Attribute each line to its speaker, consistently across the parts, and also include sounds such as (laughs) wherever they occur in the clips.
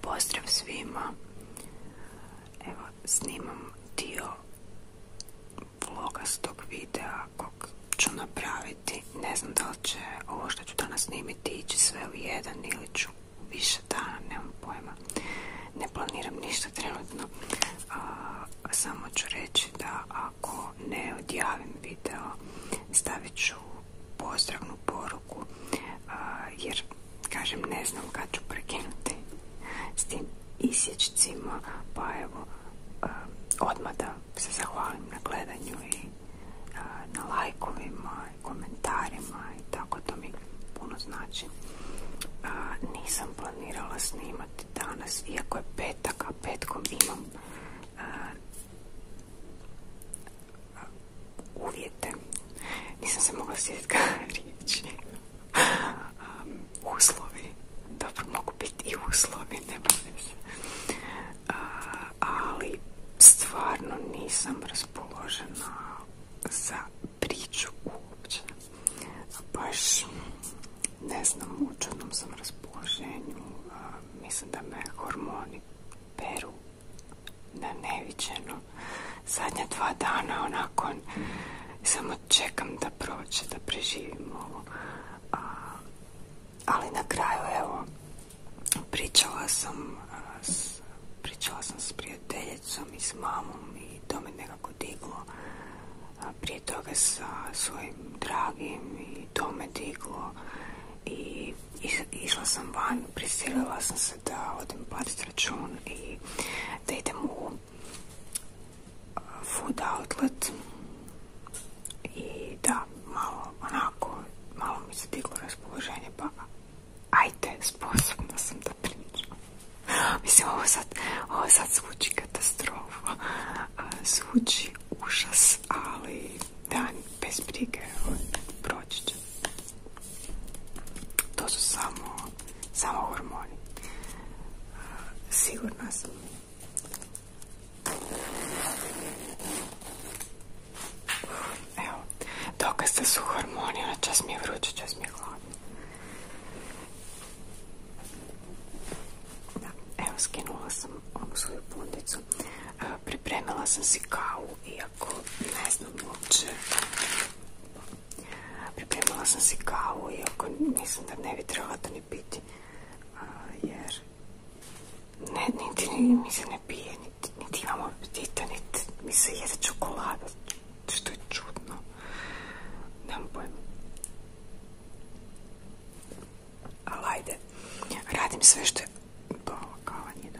Speaker 1: Pozdrav svima. Evo snimam dio tog videa kog ću napraviti. Ne znam da li će ovo što ću danas snimiti ići sve u jedan ili ću više dana, nemam pojma. Ne planiram ništa trenutno. A, samo ću reći da ako ne odjavim video stavit ću pozdravnu poruku jer kažem ne znam kad ću prekinuti s tim isječcima pa evo odmah da se zahvalim na gledanju i na lajkovima i komentarima i tako to mi puno znači nisam planirala snimati danas iako je petak a petkom imam uvjete. Nisam se mogla sjetiti riječi. uslovi. Dobro, mogu biti i uslovi, ne bude ali stvarno nisam raspoložena za priču uopće. Baš ne znam, u sam raspoloženju. mislim da me hormoni peru na neviđeno. Zadnja dva dana onako samo čekam da prođe, da preživimo. ali na kraju, evo, pričala sam pričala sam s prijateljicom i s mamom i to me nekako diglo. prije toga sa svojim dragim i to me diglo. I išla sam van, prisilila sam se da odem platiti račun i da idem u uh, food outlet i da, malo onako, malo mi se diglo raspoloženje, pa ajde, sposobna sam da pričam. (gasps) Mislim, ovo sad, ovo sad zvuči katastrofa, (laughs) zvuči užas, ali da, bez brige, proći će. To samo, samo hormoni. Sigurna sam. Evo, dokaz da su hormoni, ona čas mi je vruće, čas mi je hladno. Da, evo, skinula sam ovu svoju pundicu. E, pripremila sam si kavu i nekako, ne znam Pripremila sam si kavu, iako mislim da ne bi trebala to ni piti. jer ne, niti mi se ne pije, niti, imamo imam niti mi se jede čokolada, što je čudno. Nemam pojma. Ali ajde, radim sve što je pa, kava dobro.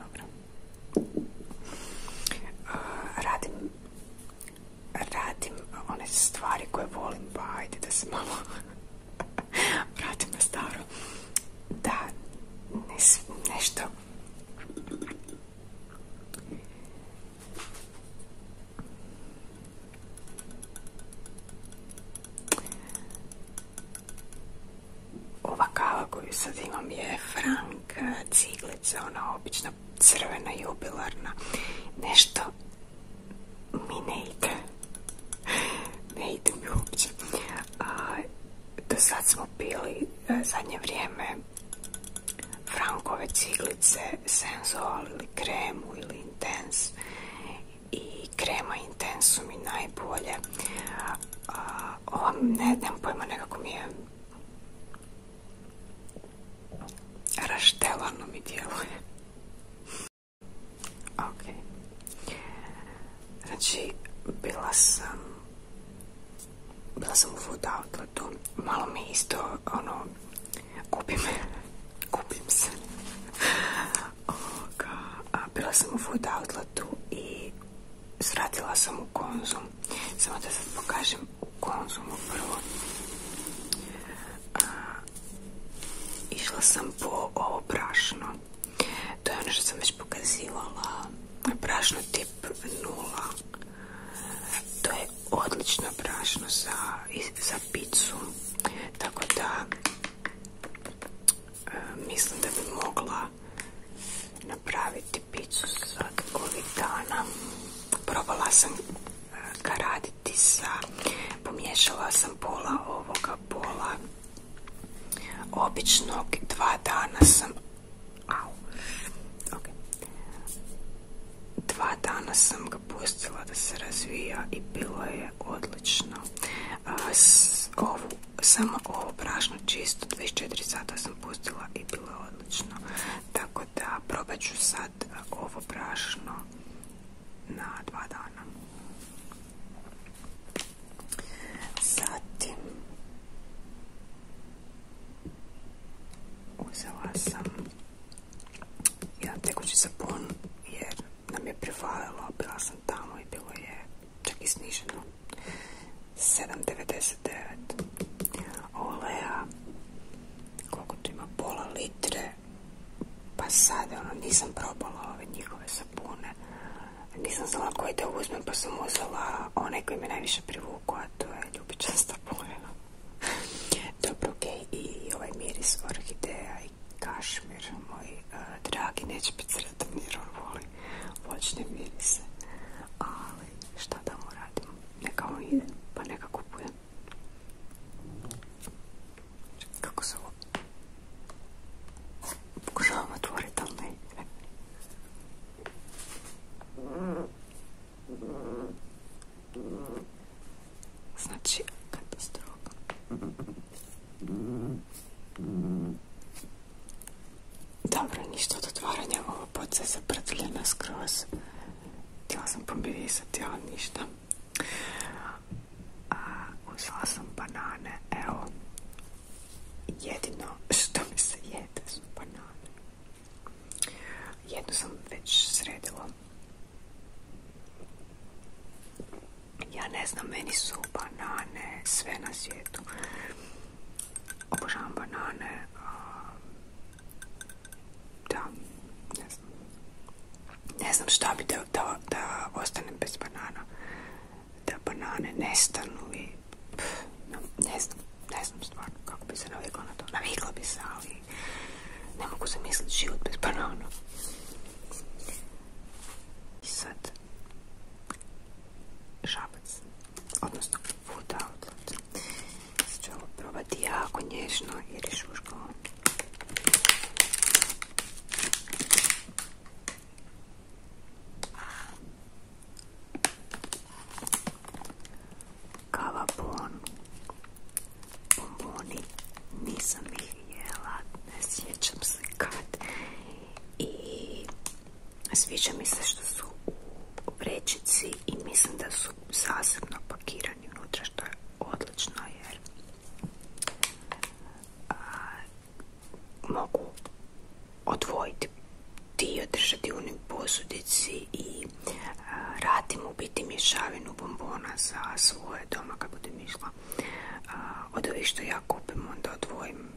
Speaker 1: dobra. Eh, radim, radim one stvari koje volim, pa ajde da se malo (laughs) staro. Da, nešto ova kava koju sad imam je Frank ciglica, ona obična crvena jubilarna. Nešto mi ne ide. Ne mi uopće. do sad smo pili e, zadnje vrijeme Frankove ciglice, senzual ili kremu ili intens. I krema intensu mi najbolje. ova ne znam pojma, nekako mi je raštelano mi djeluje. Ok. Znači, bila sam bila sam u food Outletu, Malo mi isto, ono, kupim, (laughs) kupim se. a Bila sam u food Outletu i Zvratila sam u konzum samo da sad pokažem u konzumu prvo išla sam po ovo prašno to je ono što sam već pokazivala prašno tip 0 to je odlično prašno za, za picu tako da e, mislim da bi mogla napraviti picu sad ovih dana. Probala sam e, ga raditi sa, pomiješala sam pola ovoga, pola običnog, dva dana sam, au, dva dana sam ga pustila da se razvija i bilo je odlično. samo ovo prašno čisto 24 sata pustila i bilo je odlično. Tako da probat ću sad e, ovo prašno na dva dana. Zatim uzela sam jedan tekući sapon jer nam je prevalilo, bila sam tamo i bilo je čak i sniženo 7,99 oleja koliko tu ima pola litre pa sada ono, nisam probala ove njihove sapune nisam znala koji da uzmem pa sam uzela onaj koji me najviše privuku a to je ljubičasta punena (laughs) dobro ok i ovaj miris orhideja i kašmir moj eh, dragi neće biti sretan jer voćne mirise. Ali šta da mu radimo? Neka on ide, pa neka kupuje. Kako se ovo... Pokušavam otvoriti, ali ne Znači, katastrofa. Dobro, ništa od otvaranja, ovo boca je zaprtljena skroz. Htjela sam pomirisati, ali ništa. A, uzela sam banane, evo. Jedino što mi se jede su banane. Jednu sam već sredila. Ja ne znam, meni su banane sve na svijetu. Obožavam banane. Da, ne znam. šta bi da, da, ostanem bez banana. Da banane nestanu i... ne znam, stvarno kako bi se navigla na to. Navikla bi se, ali ne mogu zamisliti život bez banana. sad... Šabac odnosno futa odlaca. Sada ću ovo probati jako nježno i rešuško. Kava bon, bomboni, nisam ih jela, ne sjećam se kad i Sviđa mi se što su u i mislim da su zasebno pakirani unutra što je odlično jer mogu odvojiti ti održati u posudici i a, u biti mješavinu bombona za svoje doma kad budem išla. od ovih što ja kupim onda odvojim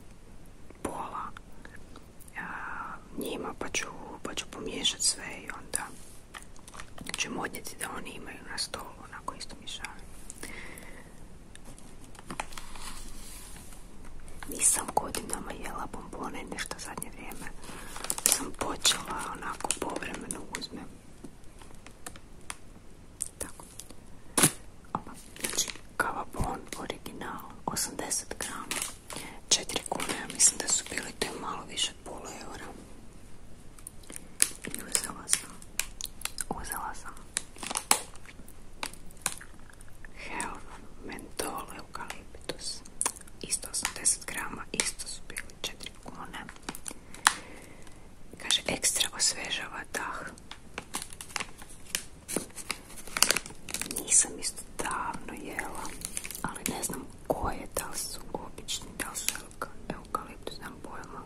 Speaker 1: pola njima pa ću, pa ću pomiješati sve i onda ćemo odnijeti da oni imaju na stolu onako isto mišavanje. Nisam godinama jela bombone, nešto zadnje vrijeme sam počela onako povremeno uzme. Tako. znači, kava bon original, 80 grama. 4 kune, ja mislim da su bili to malo više od pola eura. I uzela sam, uzela sam Health Mentol Eukaliptus. Isto 80 grama, isto su bili četiri kune. Kaže, ekstra osvežava dah. Nisam isto davno jela, ali ne znam koje, da li su obični, da li su eukaliptus, znam pojma.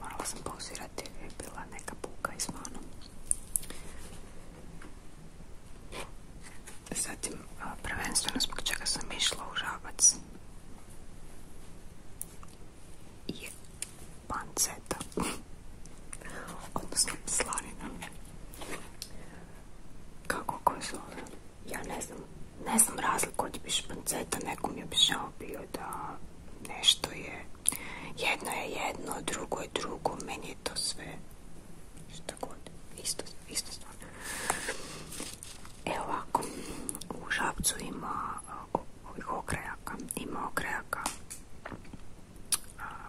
Speaker 1: morala sam pauzirati jer je bila neka puka izvana. Zatim, prvenstveno zbog čega sam išla u Žabac je panceta (laughs) odnosno slanina kako ko zove ja ne znam razliku od panceta nekom je običao bio da nešto je jedno je jedno, drugo je drugo meni je to sve šta god, isto, stvar e ovako u Žabcu ima ovih okrajaka ima okrajaka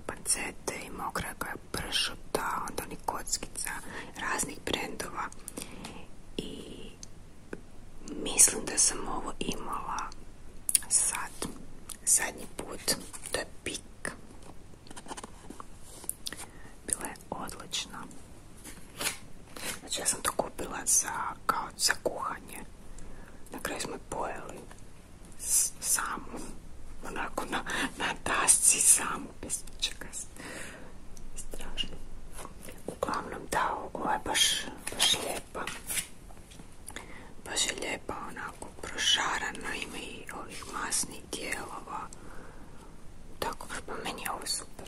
Speaker 1: pancete i mokra koja pršuta, onda onih kockica raznih brendova i mislim da sam ovo imala sad, zadnji put, to je pik. Bila je odlična. Znači ja sam to kupila za, kao za kuhanje. Na kraju smo pojeli samo onako na, na samu, bez ničega, strašno. Uglavnom da, ovo je baš, baš lijepa, baš je lijepa, onako prošarana, ima i ovih masnih dijelova, tako pa meni je ovo super.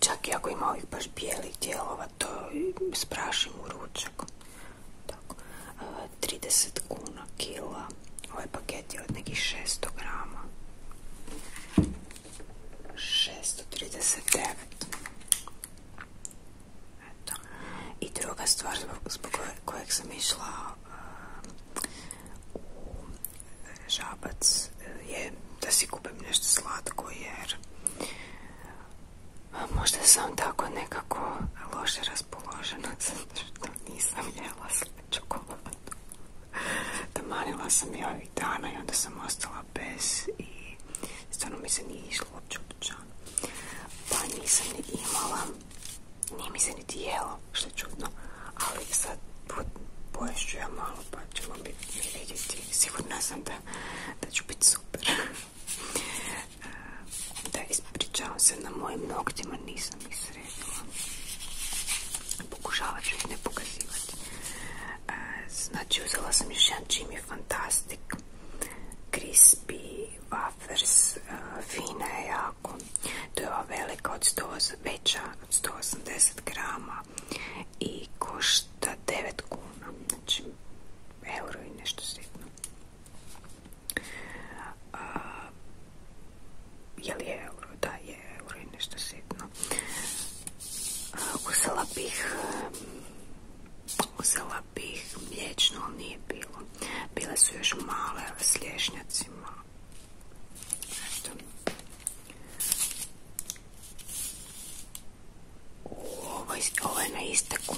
Speaker 1: Čak i ako ima ovih baš bijelih dijelova, to sprašim u ručak. Tako. 30 e, kuna kila. Ovaj paket je od nekih 600 grama. 639. Eto. I druga stvar zbog, kojeg sam išla e, u žabac e, je da si kupim nešto slatko jer Možda sam tako nekako loše raspoložena (laughs) zato što nisam jela sve čokoladu. Tamanila sam je ovih dana i onda sam ostala bez i stvarno mi se nije išlo uopće u Pa nisam ni imala, nije mi se ni jelo, što je čudno, ali sad poješću ja malo pa ćemo vidjeti. Sigurna sam da da ću biti super. (laughs) Eh, da, ispričavam se, na mojim noktima nisam ih sredila. Pokušavat ću ih ne pokazivati. Eh, znači, uzela sam još jedan Jimmy Fantastic. Crispy wafers, eh, fina je jako. To je ova velika, od 100, veća od 180 grama i košta 9 kuna, znači euro i nešto sitno. je je euro? Da, je euro i nešto sitno. uzela bih uzela bih nije bilo. Bile su još male s lješnjacima. Ovo, je na isteku.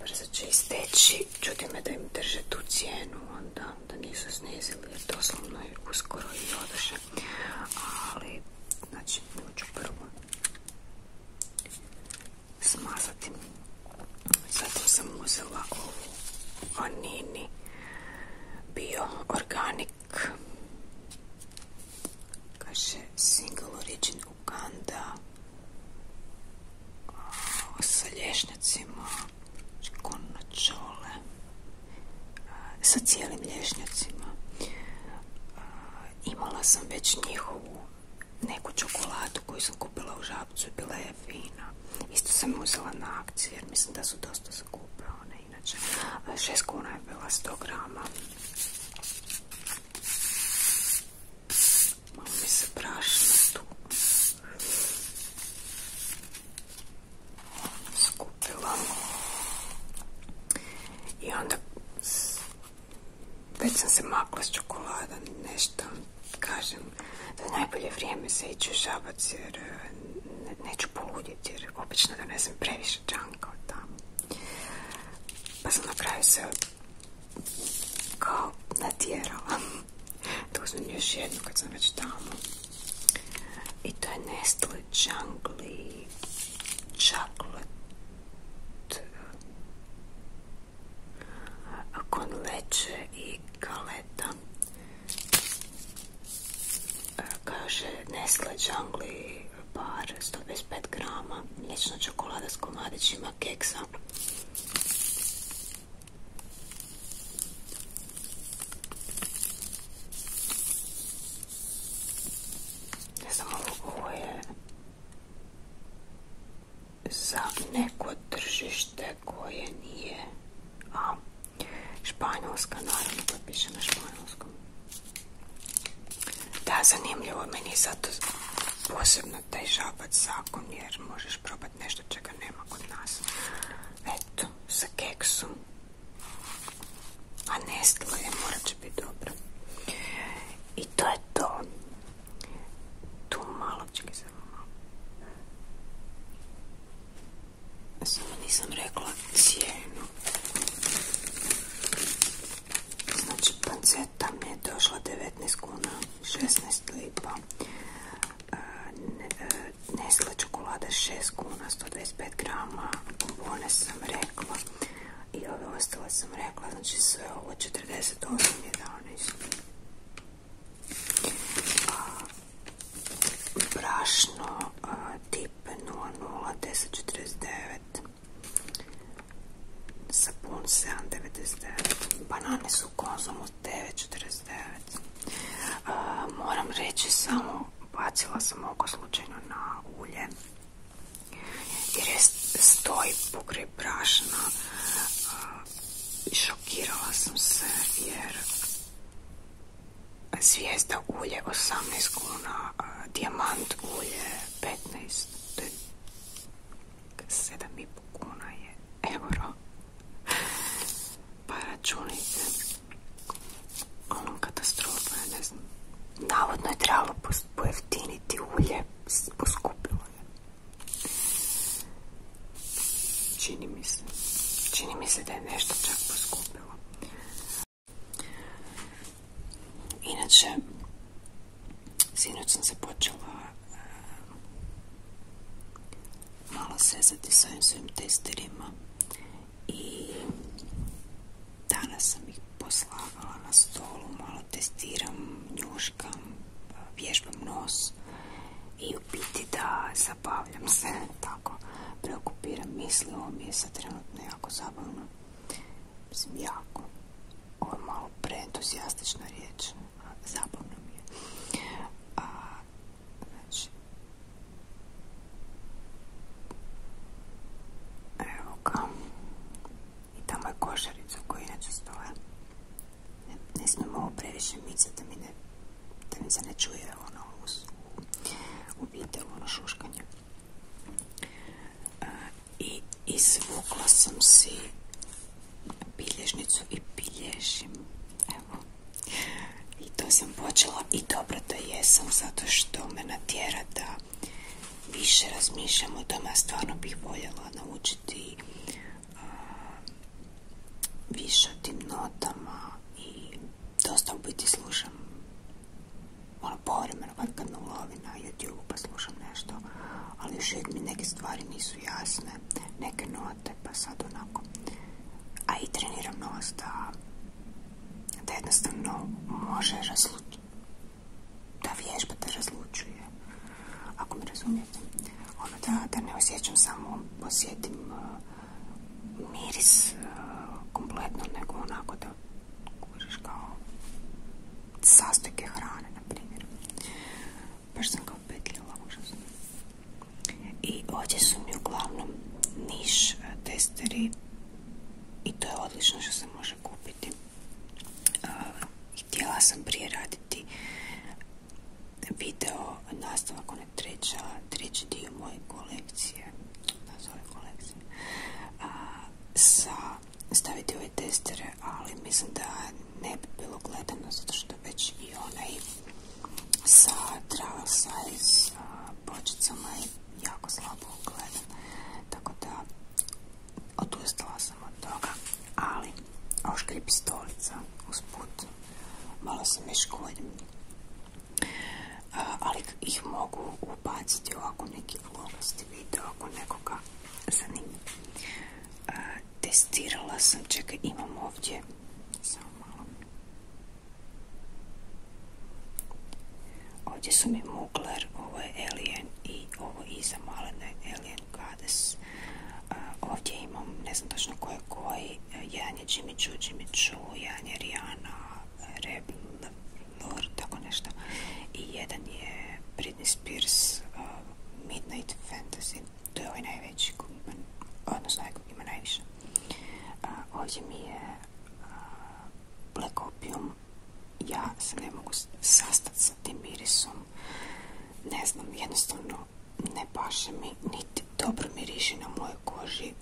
Speaker 1: Brzo će isteći. Čudi me da im drže tu cijenu. Onda da nisu snizili. Jer doslovno je uskoro i održe. Ali, znači, ću prvo smazati. Zato sam uzela ovu vanini bio organic kaže single origin Uganda sa lješnjacima znači, čole, sa cijelim lješnjacima imala sam već njihovu neku čokoladu koju sam kupila u žabcu i bila je fina isto sam uzela na akciju jer mislim da su dosta skupe one inače šest kuna je bila 100 grama Malo mi se prašno tu skupila. I onda već sam se makla s čokolada, nešto kažem da najbolje vrijeme se ići u jer e, neću poludjeti jer obično donesem previše džanka od tamo. Pa sam na kraju se kao natjerala. uzmem (laughs) još jednu kad sam već tamo. I to je Nestle Jungle Chocolate Kon leće i galeta. E, kaže Nestle Jungle par 125 grama mliječna čokolada s komadićima keksa ne znam ovo je za neko tržište koje nije a španjolska naravno to piše na španjolskom da, zanimljivo. Meni je zato posebno taj žabac zakon, jer možeš probati nešto čega nema kod nas. Eto, sa keksom. A nestilo je, morat će biti dobro. I to je to. Tu malo, čekaj samo malo. Samo nisam rekla cijenu. Znači, panceta mi je došla 19 kuna, 16 lipa. E, e, Nestle čokolade 6 kuna, 125 grama. Bombone sam rekla. I ove ostala sam rekla, znači sve ovo 48,11. Brašno, e, tip 00, 10,49. Sapun 7,99. Banane su u od 9,49. moram reći samo, bacila sam oko slučajno na ulje. Jer je stoji pokraj brašna. i šokirala sam se jer zvijezda ulje 18 kuna, dijamant ulje 15 to je 7,5 kuna je euro. Pa računajte. Ono katastrofa, ne znam. Navodno je trebalo pojeftiniti ulje, poskupilo je. Čini mi se. Čini mi se da je nešto čak poskupilo. Inače, sinoć sam se počela eh, malo sezati s ovim svojim testerima i danas sam ih poslavala na stolu, malo testiram, njuškam, vježbam nos i u biti da zabavljam se, (laughs) tako preokupiram misli, mi je trenutno jako zabavno jako, ovo je malo preentuzijastična riječ, zabavno mi je. A, znači, evo ga, i tamo je košarica koja inače stoje. Ne, ne smijemo ovo previše micati da mi se ne čuje ono u, u, u ono šuškanje i izvukla sam si bilježnicu i bilježim. Evo. I to sam počela i dobro da jesam zato što me natjera da više razmišljam o tome. stvarno bih voljela naučiti više o tim notama i dosta u biti slušam ono povremeno kad, kad me na YouTube pa slušam nešto, ali još mi neke stvari nisu jasne, neke note, pa sad onako. A i treniram nos da, da jednostavno može razlučiti, da vježba te razlučuje, ako mi razumijete. Ono da, ne osjećam samo, osjetim miris kompletno, nego onako da kužiš kao sastojke hrane, na primjer. Baš sam kao petljala, I ovdje su mi uglavnom niš e, testeri i to je odlično što se može kupiti. E, htjela sam prije raditi video nastavak je treća, treći dio moje kolekcije, nazove kolekcije, kolekcija, sa staviti ove testere, ali mislim da ne bi bilo gledano, zato što već i onaj sa travel size bočicama je jako slabo gledan. Tako da odustala sam od toga, ali stolica pistolica usput, malo se mi škodim. Ali ih mogu ubaciti u neki vlogasti video, ako nekoga Zanimljivo. testirala sam, čekaj, imam ovdje, samo malo. Ovdje su mi Mugler, ovo je Alien i ovo iza malene Alien Goddess. ovdje imam, ne znam točno ko je koji, uh, jedan je Jimmy Choo, Jimmy tako nešto. I jedan je Britney Spears uh, Midnight Fantasy. To je ovaj najveći, odnosno ima najviše. Uh, ovdje mi je uh, Black Opium. Ja se ne mogu sastati sa tim mirisom. Ne znam, jednostavno ne paše mi, niti dobro miriši na mojoj koži.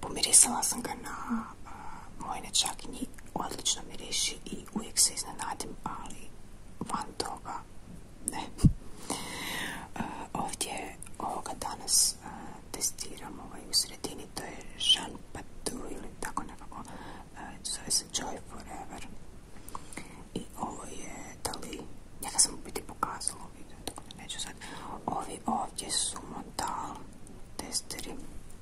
Speaker 1: Pomirisala sam ga na čak ni odlično miriši i uvijek se iznenadim, ali van toga ne. E, ovdje ovoga danas e, testiram ovaj u sredini, to je Jean Patou ili tako nekako, e, zove se Joy Forever. I ovo je, da li, sam biti pokazala u tako neću sad. Ovi ovdje su da testeri,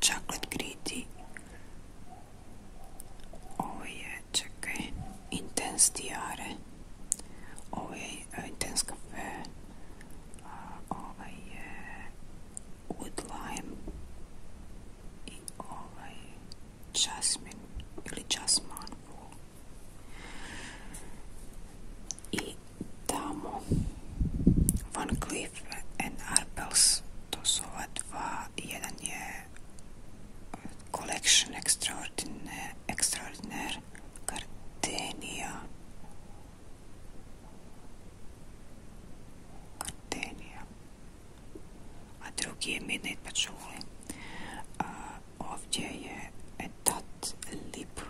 Speaker 1: chocolate gritty. Ovo je, intense diare. Ovo e, intense cafe. Uh, ovaj wood lime. I ovaj jasmine ili jasmine. I tamo Van Cliff and Arpels to su ova dva jedan je eh, collection extraordinaire, extraordinaire Gardenia a drugi je Midnight Patchouli a, ovdje je Etat Lip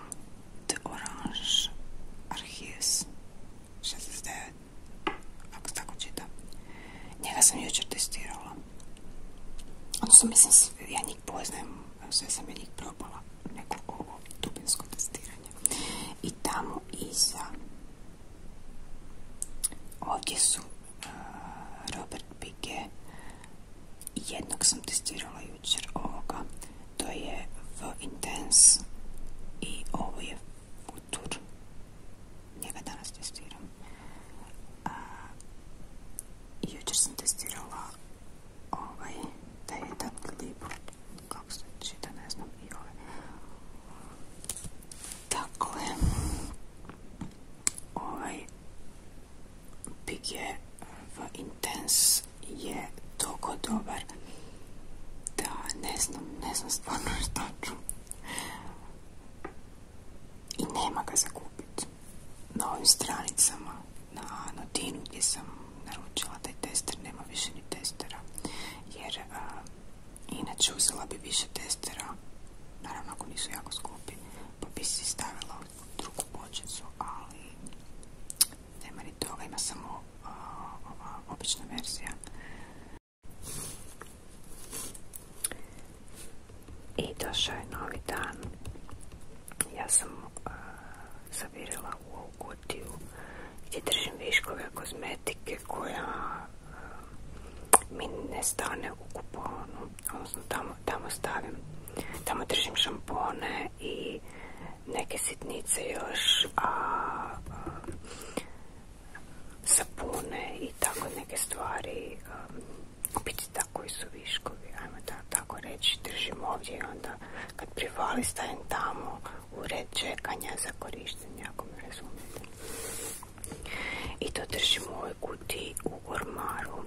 Speaker 1: de Orange Archives 69 ako tako čitam njega sam jučer testirala odnosno mislim ja njih poznajem sve sam ja njih probala neko ovo dubinsko testiranje i tamo iza ovdje su Robert Pike jednog sam testirala jučer ovoga to je V Intense i ovo je Futur. Njega danas testiram. A, jučer sam testirala ovaj, taj jedan klip, kako se čita, ne znam, i ovaj. Dakle, ovaj Big je v Intense je toliko dobar da, ne znam, ne stvarno (laughs) I nema ga za kupiti Na ovim stranicama, na notinu gdje sam naručila taj tester, nema više ni testera. Jer, inače uzela bi više testera, naravno ako nisu jako skupi, pa bi si stavila drugu bočicu, ali nema ni toga, ima samo obična verzija. I došao je novi dan. Ja sam zavirila u ovu kutiju gdje držim viškove kozmetike koja mi ne stane u kuponu. Odnosno tamo, tamo stavim, tamo držim šampone i neke sitnice još, a, sapune i tako neke stvari, biti tako i su viškovi, ajmo da, tako reći, držim ovdje onda kad privali stajem tamo u red čekanja za korištenje, ako me I to držimo u ovoj u ormaru.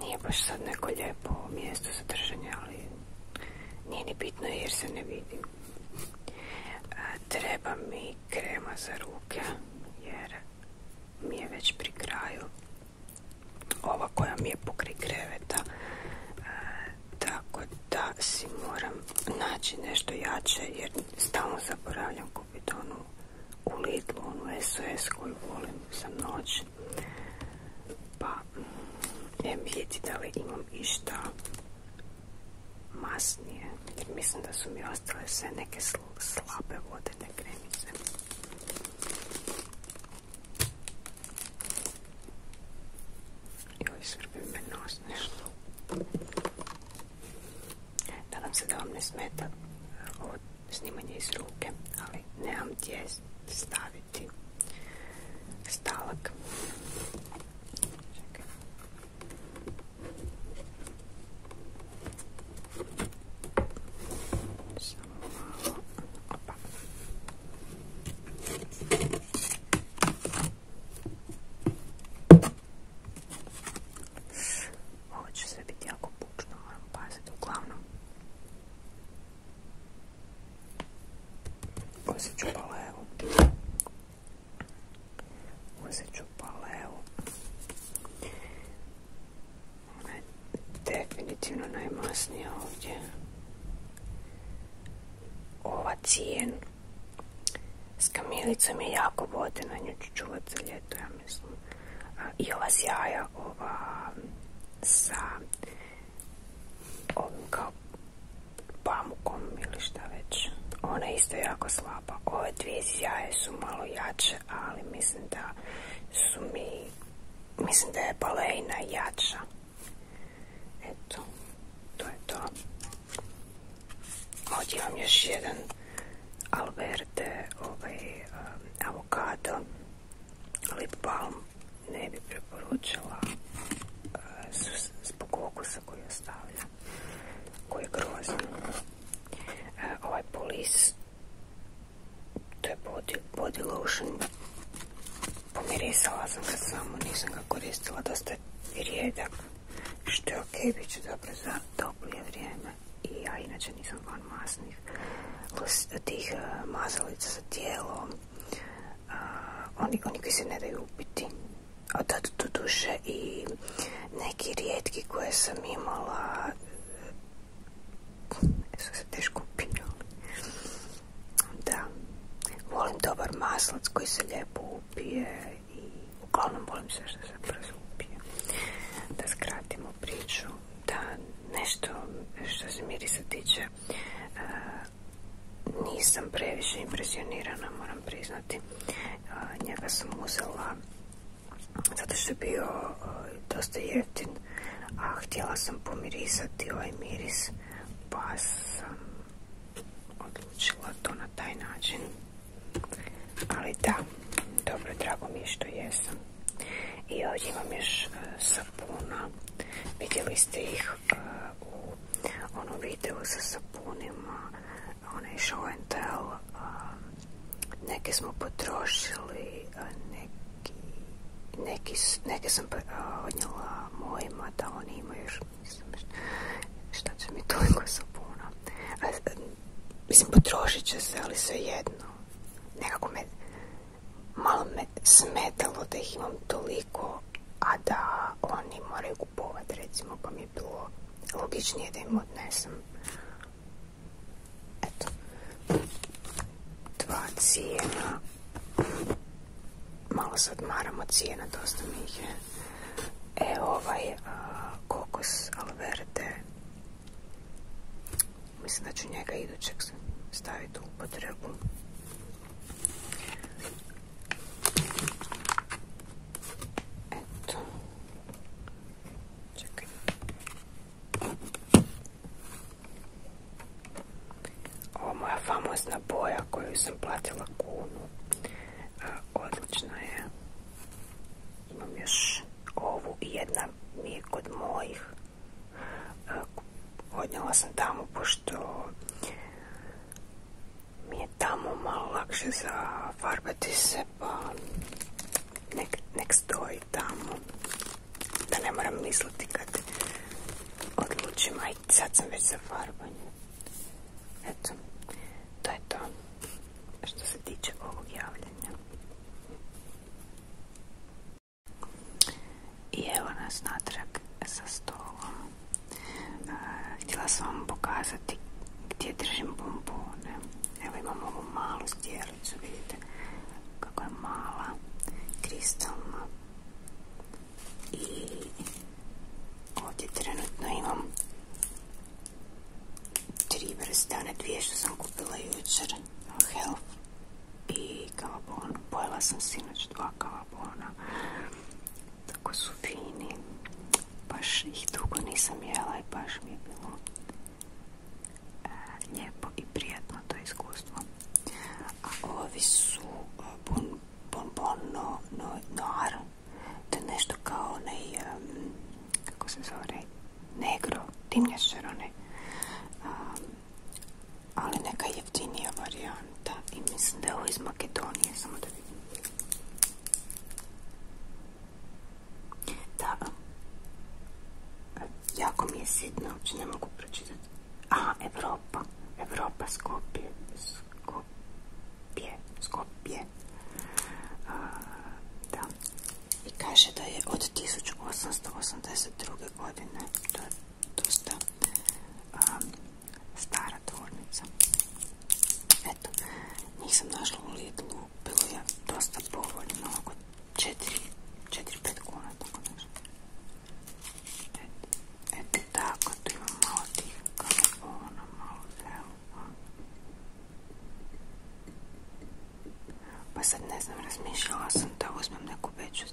Speaker 1: nije baš sad neko lijepo mjesto za držanje, ali nije ni bitno jer se ne vidim. Treba mi krema za ruke jer mi je već pri kraju. Ova koja mi je pokri kreveta. Tako da si moram naći nešto jače jer stalno zaboravljam kupiti onu u Lidlu, onu SOS koju volim za noć. Pa, idem vidjeti da li imam išta masnije jer mislim da su mi ostale sve neke slabe vodene kremice joj svrbi me nos nešto nadam se da vam ne smeta ovo snimanje iz ruke ali nemam gdje staviti stalak. Ovo će se biti jako pučno, paziti. Uglavnom, Osjeću palevu. Osjeću palevu. definitivno najmasnija ovdje. Ova cijen s kamilicom je jako vodena, nju ću čuvati za ljeto, ja mislim. I ova sjaja, ova sa ovim kao pamukom ili šta već. Ona isto jako slaba. Ove dvije sjaje su malo jače, ali mislim da su mi... Mislim da je balejna jača. Eto, to je to. Ovdje imam još jedan Alberte, ovaj um, avokado, lip balm ne bi preporučila eh, zbog okusa koji ostavlja koji je grozan eh, ovaj polis to je body, body lotion pomirisala sam ga samo nisam ga koristila dosta je rijedak što je dobro za toplije vrijeme i ja inače nisam van masnih eh, tih uh, za tijelo oni, koji se ne daju upiti. A tad tu duše i neki rijetki koje sam imala e, su se teško upinjali. Da, volim dobar maslac koji se lijepo upije i uglavnom volim sve što se brzo upije. Da skratimo priču, da nešto što se mirisa tiče, nisam previše impresionirana, moram priznati. Njega sam uzela zato što je bio dosta jeftin, a htjela sam pomirisati ovaj miris, pa sam odlučila to na taj način. Ali da, dobro, drago mi je što jesam. I ovdje imam još sapuna. Vidjeli ste ih Uh, ono video u onom videu sa sapunima, onaj show and uh, neke smo potrošili, uh, neke sam odnijela mojima da oni imaju još, nisam, šta će mi toliko sapuna. mislim, potrošit će se, ali sve jedno. Nekako me, malo me smetalo da ih imam toliko a da oni moraju kupovati recimo pa mi je bilo logičnije da im odnesem eto dva cijena malo sad maramo cijena dosta mi ih je e ovaj kokos alverde mislim da ću njega idućeg staviti u potrebu. Eto. Čekaj. moja famozna boja koju sam platila kunu. Odlična je. Imam još ovu i jedna mi je kod mojih. Odnjela sam tamo pošto mi je tamo malo lakše farbati se pa nek, stoji tamo da ne moram misliti kad odlučim i sad sam već za farbanje eto to je to što se tiče ovog javljanja i evo nas natrag sa stolom. htjela sam vam pokazati gdje držim bombone. Evo imam ovu malu stjelicu, vidite kako je mala, kristalna. I ovdje trenutno imam tri vrste, one dvije što sam kupila jučer, health i kavabon. Pojela sam sinoć dva kavabona. Tako su fini. Baš ih dugo nisam jela i baš mi bilo e, lijepo i prijatno to iskustvo. A ovi su e, bonbon bon, noir. To je nešto kao onaj, e, kako se zove, negro, dimnjačar onaj. ali neka jeftinija varijanta. Da, i mislim da je ovo iz Makedonije, samo da vidim. jako mi je sitno, uopće ne mogu pročitati. A, Evropa, Evropa, Skopje, Skopje, Skopje. da, i kaže da je od 1882. godine, to je dosta stara tvornica. Eto, njih sam našla u Lidlu, bilo je dosta povoljno, oko 4-5 kuna, tako Eto, tako, tu imam malo tih, malo pa ne znam, razmišljala sam da uzmem neku veću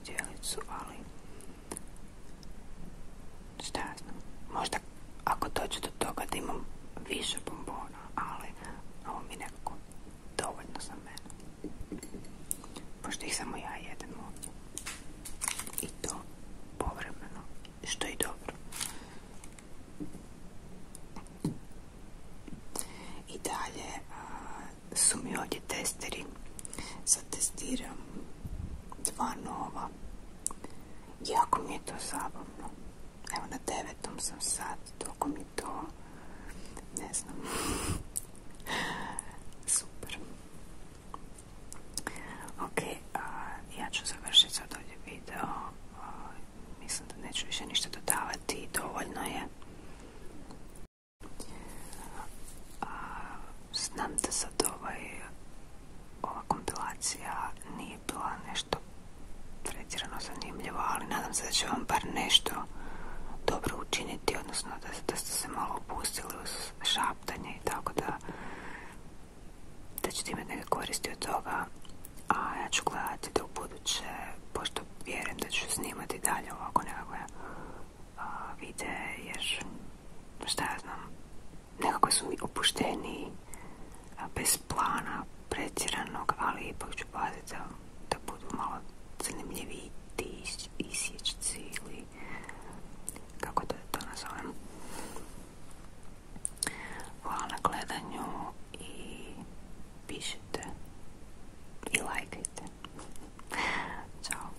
Speaker 1: šta ja znam, možda ako dođe do toga da imam više bombona, ali ovo mi dovoljno za mene. Pošto ih samo ja jedem ovdje. I to povremeno, što je dobro. I dalje su mi ovdje testeri. Sad testiram dva nova Jako mi je to zabavno. Evo na devetom sam sad, toliko mi to, ne znam, (laughs) super. Ok, ja ću završiti sad ovdje video. mislim da neću više ništa dodavati, dovoljno je. znam da sad ovaj ova kompilacija nije bila nešto pretjerano zanimljiva, ali nadam se da će vam bar nešto dobro učiniti, odnosno da, da ste se malo opustili uz šaptanje i tako da da ćete imati neke koristi od toga a ja ću gledati da u buduće pošto vjerujem da ću snimati dalje ovako nekakve vide jer šta ja znam nekako su opušteni, a bez plana, pretjeranog, ali ipak ću paziti da, da budu malo zanimljiviji ti isječci ili kako da to nazovem. Hvala na gledanju i pišite i lajkajte. Ćao.